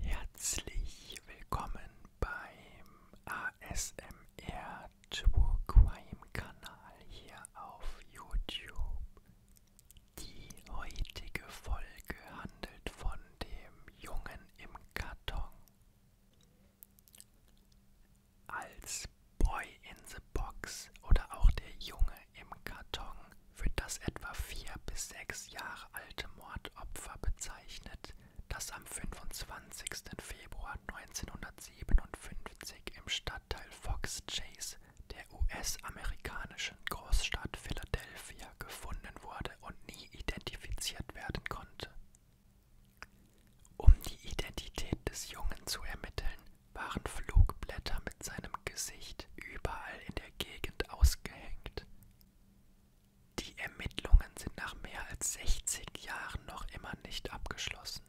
Herzlich willkommen beim ASMR True Crime Kanal hier auf YouTube. Die heutige Folge handelt von dem Jungen im Karton. Als Boy in the Box oder auch der Junge im Karton wird das etwa vier bis sechs Jahre alte Mordopfer bezeichnet, das am 25. Februar 1957 im Stadtteil Fox Chase der US-amerikanischen Großstadt Philadelphia gefunden wurde und nie identifiziert werden konnte. Um die Identität des Jungen zu ermitteln, waren Flugblätter mit seinem Gesicht überall in der Gegend ausgehängt. Die Ermittlungen sind nach mehr als 60 Jahren noch immer nicht abgeschlossen.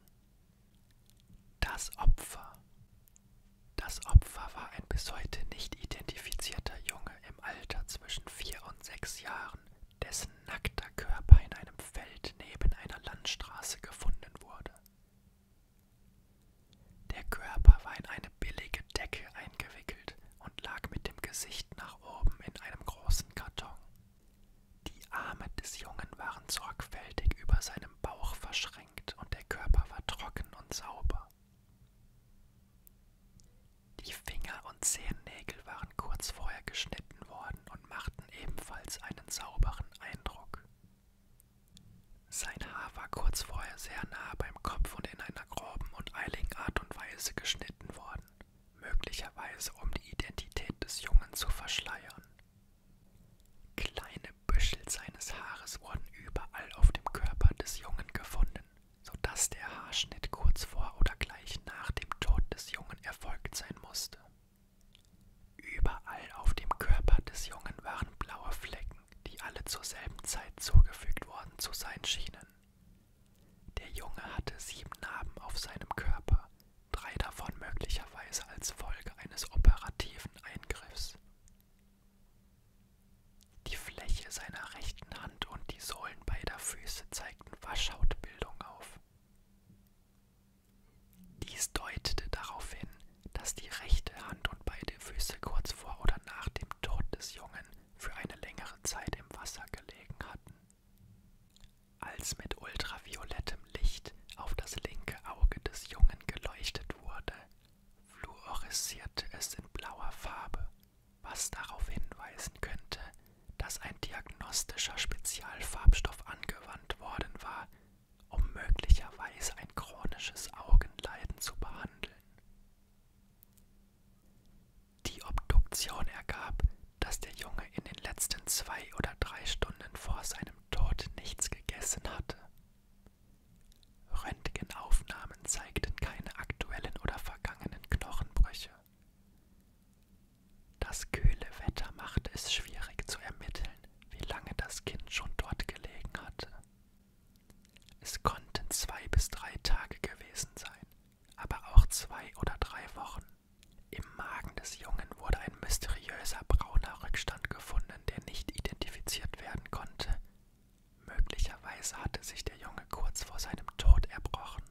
Das Opfer. Das Opfer war ein bis heute nicht identifizierter Junge im Alter zwischen vier und sechs Jahren, dessen nackter Körper in einem Feld neben einer Landstraße gefunden wurde. Der Körper war in eine billige Decke eingewickelt und lag mit dem Gesicht nach oben in einem großen Karton. Die Arme des Jungen waren sorgfältig über seinem Bauch verschränkt und der Körper war trocken und sauber. Die Finger und Zehennägel waren kurz vorher geschnitten worden und machten ebenfalls einen sauberen Eindruck. Sein Haar war kurz vorher sehr nahe beim Kopf und in einer groben und eiligen Art und Weise geschnitten worden, möglicherweise um die Identität des Jungen zu verschleiern. Kleine Büschel seines Haares wurden überall auf dem Körper des Jungen gefunden, sodass der Haarschnitt kurz vor oder gleich nach dem Tod des Jungen erfolgt sein musste. Überall auf dem Körper des Jungen waren blaue Flecken, Ereignissen, die alle zur selben Zeit zugefügt worden zu sein schienen. Der Junge hatte sieben Narben auf seinem Körper, drei davon möglicherweise als Folge eines operativen Eingriffs. Die Fläche seiner rechten Hand und die Sohlen beider Füße zeigten Waschhautbildung auf. Dies deutete darauf hin, dass die rechte Hand und beide Füße kurz vor oder nach dem Tod des Jungen für eine längere Zeit im Wasser gelegen hatten. Als mit ultraviolettem Licht auf das linke Auge des Jungen geleuchtet wurde, fluoreszirte es in blauer Farbe, was darauf hinweisen könnte, dass ein diagnostischer Spezialfarbstoff angewandt worden war, um möglicherweise ein chronisches Augenleiden zu behandeln. Die Obduktion ergab, dass der Junge in den letzten zwei oder drei Stunden vor seinem Tod nichts gegessen hatte. Röntgenaufnahmen zeigten keine aktuellen oder vergangenen Knochenbrüche. Das kühle Wetter machte es schwierig zu ermitteln, wie lange das Kind schon dort gelegen hatte. Es konnten zwei bis drei Tage gewesen sein, aber auch zwei oder drei Wochen. Im Magen des Jungen wurde ein mysteriöser brauner Rückstand gefunden, der nicht identifiziert werden konnte. Möglicherweise hatte sich der Junge kurz vor seinem Tod erbrochen.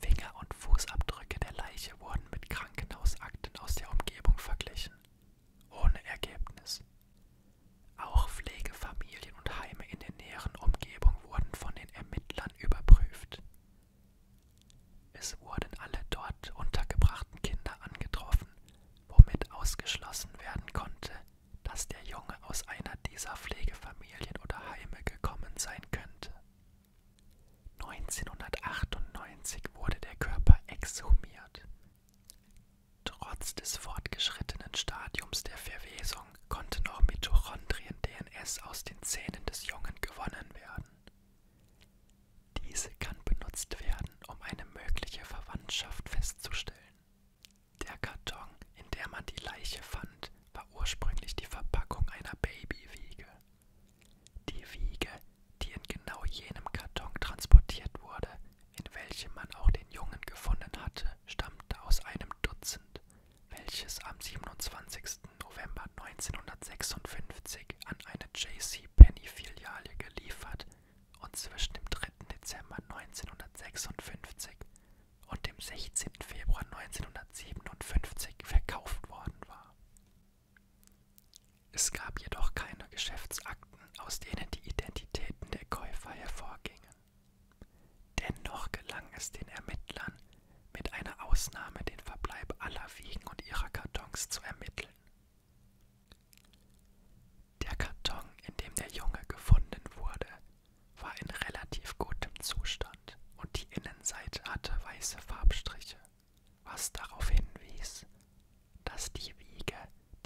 Finger- und Fußabdrücke der Leiche wurden mit Krankenhausakten aus der Umgebung verglichen. Ohne Ergebnis. Auch Pflegefamilien und Heime in der näheren Umgebung wurden von den Ermittlern überprüft. Es wurden alle dort untergebrachten Kinder angetroffen, womit ausgeschlossen werden konnte, dass der Junge aus einer dieser Pflegefamilien oder Heime gekommen sein könnte. 1998 wurde der Körper exhumiert. Trotz des fortgeschrittenen Stadiums der Verwesung konnte noch Mitochondrien-DNS aus den Zähnen des Jungen gewonnen werden. Diese kann benutzt werden, um eine mögliche Verwandtschaft festzustellen. Der Karton, in der man die Leiche fand, war ursprünglich die Verpackung einer Babywiege. Die Wiege, die in genau jenem Karton transportiert wurde, in welchem man auch den Jungen gefunden hatte, stammte aus einem Dutzend, welches am 27. November 1956 an eine J.C. Penny-Filiale geliefert und zwischen dem 3. Dezember 1956 und dem 16. Februar 1957 verkauft worden war. Es gab jedoch keine Geschäftsakten, aus denen die Identitäten der Käufer hervorgingen. Dennoch gelang es den Ermittlern, mit einer Ausnahme den Verbleib aller Wiegen und ihrer Kartons zu ermitteln. Der Karton, in dem der Junge gefunden wurde, war in relativ gutem Zustand und die Innenseite hatte weiße Farbstriche was darauf hinwies, dass die Wiege,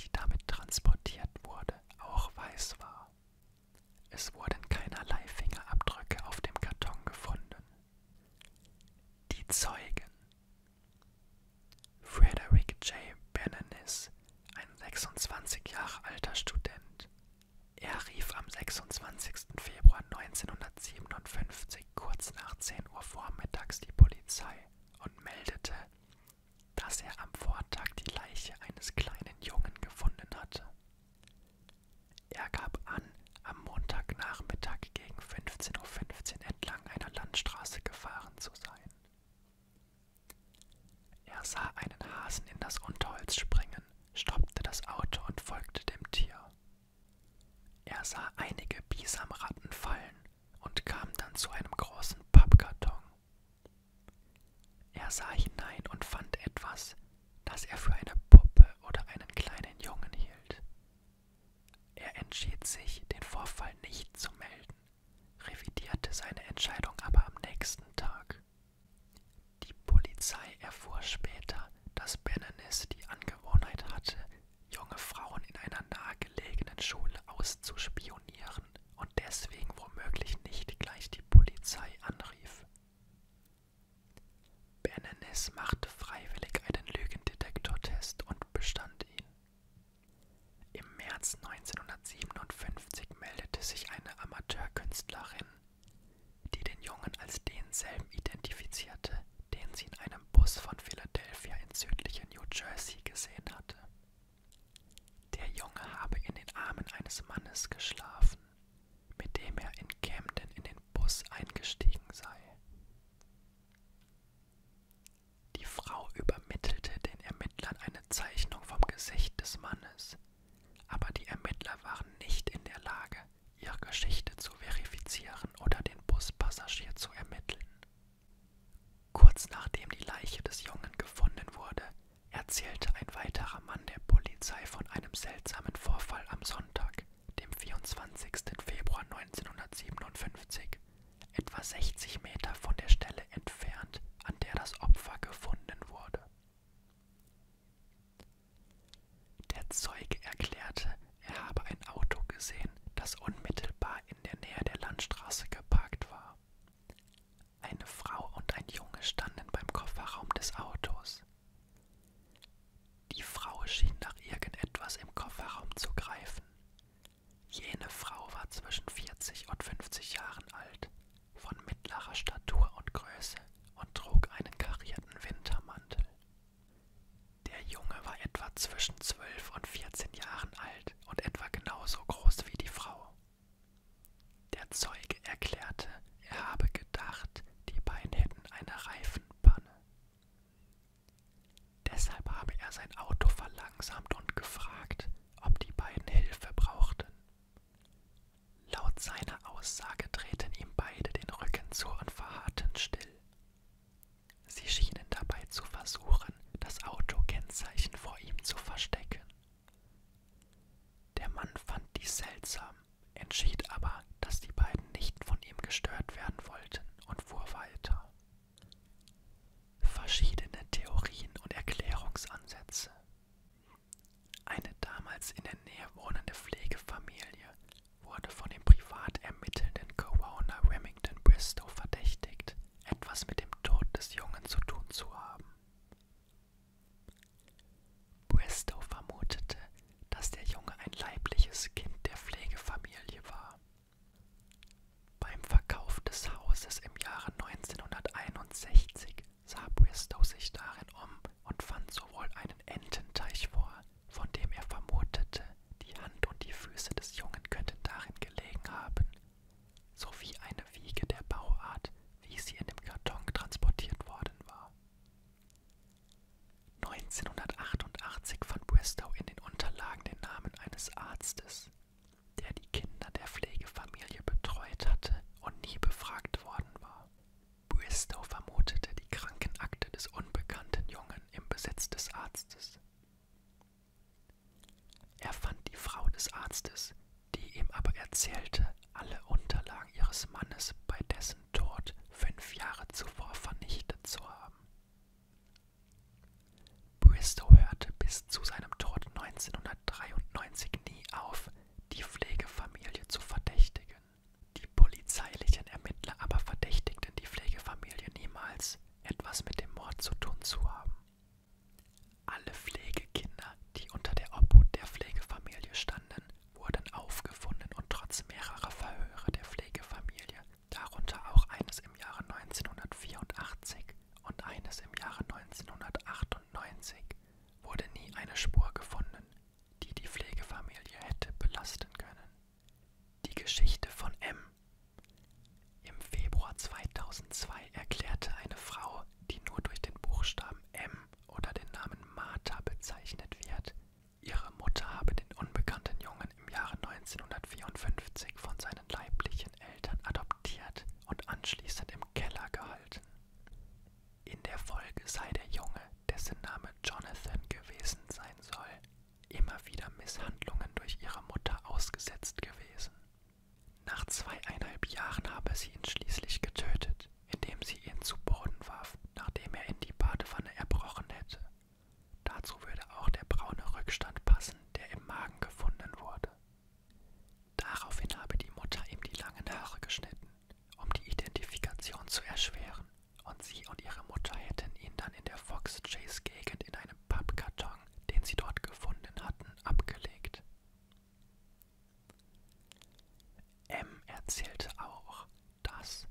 die damit transportiert wurde, auch weiß war. Es wurden keinerlei Fingerabdrücke auf dem Karton gefunden. Die Zeugen Frederick J. Benenis, ein 26 Jahre alter Student, er rief am 26. Februar 1957 kurz nach 10 Uhr vormittags die Polizei und meldete, dass er am Vortag die Leiche eines kleinen Jungen gefunden hatte. Er gab an, am Montagnachmittag gegen 15.15 .15 Uhr entlang einer Landstraße gefahren zu sein. Er sah einen Hasen in das Unterholz springen, stoppte das Auto und folgte dem Tier. Er sah einige Bisamratten fallen und kam dann zu einem großen Pappkarton. Er sah hinein und fand etwas, das er für eine Puppe oder einen kleinen Jungen hielt. Er entschied sich, den Vorfall nicht zu melden, revidierte seine Entscheidung aber am nächsten Tag. Die Polizei erfuhr später, dass Bennenes die Angewohnheit hatte, junge Frauen in einer nahegelegenen Schule auszuspionieren und deswegen womöglich nicht gleich die Polizei anrief. Bennenes machte freiwillig einen Lügendetektortest und bestand ihn. Im März 1957 meldete sich eine Amateurkünstlerin die den Jungen als denselben identifizierte, den sie in einem Bus von Philadelphia ins südliche New Jersey gesehen hatte. Der Junge habe in den Armen eines Mannes geschlafen, mit dem er in Camden in den Bus eingestiegen sei. Die Frau übermittelte den Ermittlern eine Zeichnung vom Gesicht des Mannes, aber die Ermittler waren nicht in der Lage, ihre Geschichte zu verifizieren oder den Buspassagier zu ermitteln. Kurz nachdem die Leiche des Jungen gefunden wurde, erzählte ein weiterer Mann der Polizei von einem seltsamen Vorfall am Sonntag, dem 24. Februar 1957, etwa 60 Meter von der Stelle entfernt, an der das Opfer gefunden wurde. Der Zeuge erklärte, er habe ein Auto gesehen, das unmittelbar in der Nähe der Landstraße geparkt war. Eine Frau und ein Junge standen beim Kofferraum des Autos. Die Frau schien nach irgendetwas im Kofferraum zu greifen. Jene Frau war zwischen 40 und 50 Jahren alt, von mittlerer Statur und Größe und trug einen karierten Wintermantel. Der Junge war etwa zwischen zwölf und vierzehn Jahren alt und etwa genauso groß wie die Frau. Der Zeuge erklärte, er habe gedacht, die beiden hätten eine Reifenpanne. Deshalb habe er sein Auto verlangsamt und gefragt, ob die beiden Hilfe brauchten. Laut seiner Aussage drehten ihm beide den Rücken zu und verharrten still. Sie schienen dabei zu versuchen, das Autokennzeichen vor ihm zu verstecken. Der Mann fand dies seltsam, entschied aber, dass die beiden nicht von ihm gestört werden wollten und fuhr weiter. Verschiedene Theorien und Erklärungsansätze. Eine damals in der Nähe wohnende Pflegefamilie wurde von dem privat ermittelnden Corona Remington Bristow verdächtigt, etwas mit dem Tod des Jungen zu tun zu haben. Bristow vermutete, dass der Junge ein leibliches Kind der Pflegefamilie war. Beim Verkauf des Hauses im Jahre 1961 sah Bristow sich darin um und fand sowohl einen Ententeich vor, von dem er vermutete, die Hand und die Füße des Jungen könnten darin gelegen haben, sowie eine Wiege der Bauart, wie sie in dem Karton transportiert worden war. 1988 fand Bristow in den Unterlagen den Namen eines Arztes, der die Kinder der Pflegefamilie betreut hatte und nie befragt worden war. Bristow vermutete die Krankenakte des unbekannten Jungen im Besitz des Arztes. Er fand die Frau des Arztes, die ihm aber erzählte, alle Unterlagen ihres Mannes bei dessen Tod fünf Jahre zuvor vernichtet zu haben. Bristow hörte bis zu seinem Tod 1993 nie auf, die Pflegefamilie zu verdächtigen. Die polizeilichen Ermittler aber verdächtigten die Pflegefamilie niemals, etwas mit dem Mord zu tun zu haben. Alle Pflegekinder, die unter der Obhut der Pflegefamilie standen, wurden aufgefunden und trotz mehrerer Verhöre der Pflegefamilie, darunter auch eines im Jahre 1984, und eines im Jahre 1998 wurde nie eine Spur gefunden, die die Pflegefamilie hätte belasten können. Die Geschichte von M. Im Februar 2002 erklärte eine Frau, die nur durch den Buchstaben M oder den Namen Martha bezeichnet wird, ihre Mutter habe den unbekannten Jungen im Jahre 1954 von seinen leiblichen Eltern adoptiert und anschließend im Keller gehalten. In der Folge sei der Junge, dessen Name Jonathan gewesen sein soll, immer wieder Misshandlungen durch ihre Mutter ausgesetzt gewesen. Nach zweieinhalb Jahren habe sie ihn schließlich getötet, indem sie ihn zu Boden warf, nachdem er in die Badewanne erbrochen hätte. Dazu würde auch der braune Rückstand passen, der im Magen gefunden wurde. Daraufhin habe die Mutter ihm die langen Haare geschnitten, um die Identifikation zu erschweren, und sie und ihre Mutter hätten ihn dann in der Fox Chase Gegend in einem Pappkarton, den sie dort gefunden hatten, abgelegt. M erzählte auch, dass,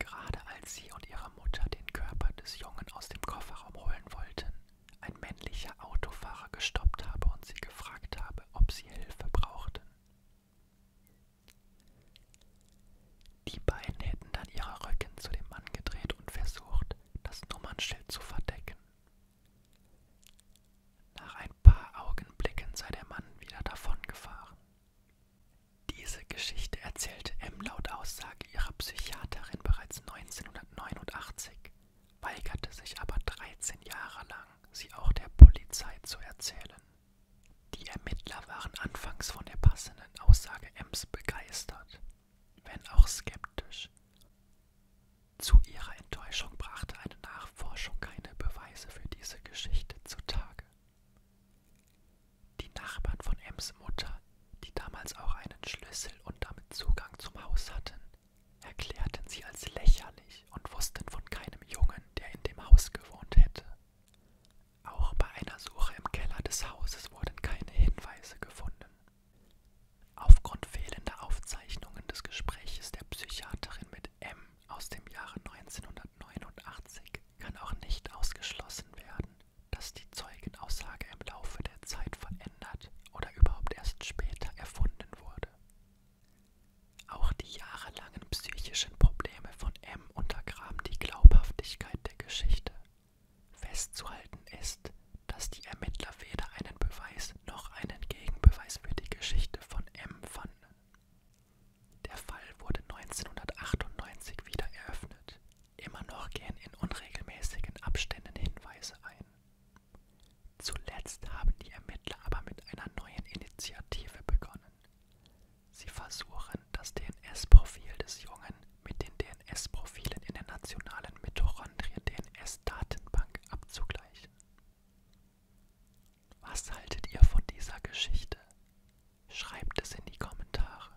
gerade als sie und ihre Mutter den Körper des Jungen aus dem Kofferraum holen wollten, ein männlicher Autofahrer gestoppt habe und sie gefragt habe, ob sie Hilfe brauchten. Die beiden hätten dann ihre Rücken zu dem Mann gedreht und versucht, das Nummernschild zu verdecken. Nach ein paar Augenblicken sei der Mann wieder davongefahren. Diese Geschichte erzählte M laut Aussage ihrer Psychiaterin bereits 19 1989 weigerte sich aber 13 Jahre lang, sie auch der Polizei zu erzählen. Die Ermittler waren anfangs von der passenden Aussage Ems begeistert, wenn auch skeptisch. Zu ihrer Enttäuschung brachte eine Nachforschung keine Beweise für diese Geschichte zutage. Die Nachbarn von Ems Mutter die damals auch einen Schlüssel und damit Zugang zum Haus hatten, erklärten sie als lächerlich und wussten von keinem Jungen, der in dem Haus gewohnt hätte. Auch bei einer Suche im Keller des Hauses wurden keine Hinweise gefunden. Aufgrund fehlender Aufzeichnungen des Gespräches der Psychiaterin mit M aus dem Jahre 1989 kann auch nicht ausgeschlossen werden, dass die Zeugenaussage im Laufe der Zeit verändert oder überhaupt erst später erfunden wurde. Auch die jahrelangen psychischen Probleme von M untergraben die Glaubhaftigkeit der Geschichte. Festzuhalten ist, dass die Ermittler weder einen Beweis noch einen Gegenbeweis für die Geschichte von M fanden. Der Fall wurde 1998 wieder eröffnet, Immer noch gehen in unregelmäßigen Abständen Hinweise ein. Zuletzt haben die Ermittler aber mit einer neuen Initiative begonnen. Sie versuchen, das DNS-Profil des Jungen mit den DNS-Profilen in der nationalen Mitochondrien-DNS-Datenbank abzugleichen. Was haltet ihr von dieser Geschichte? Schreibt es in die Kommentare.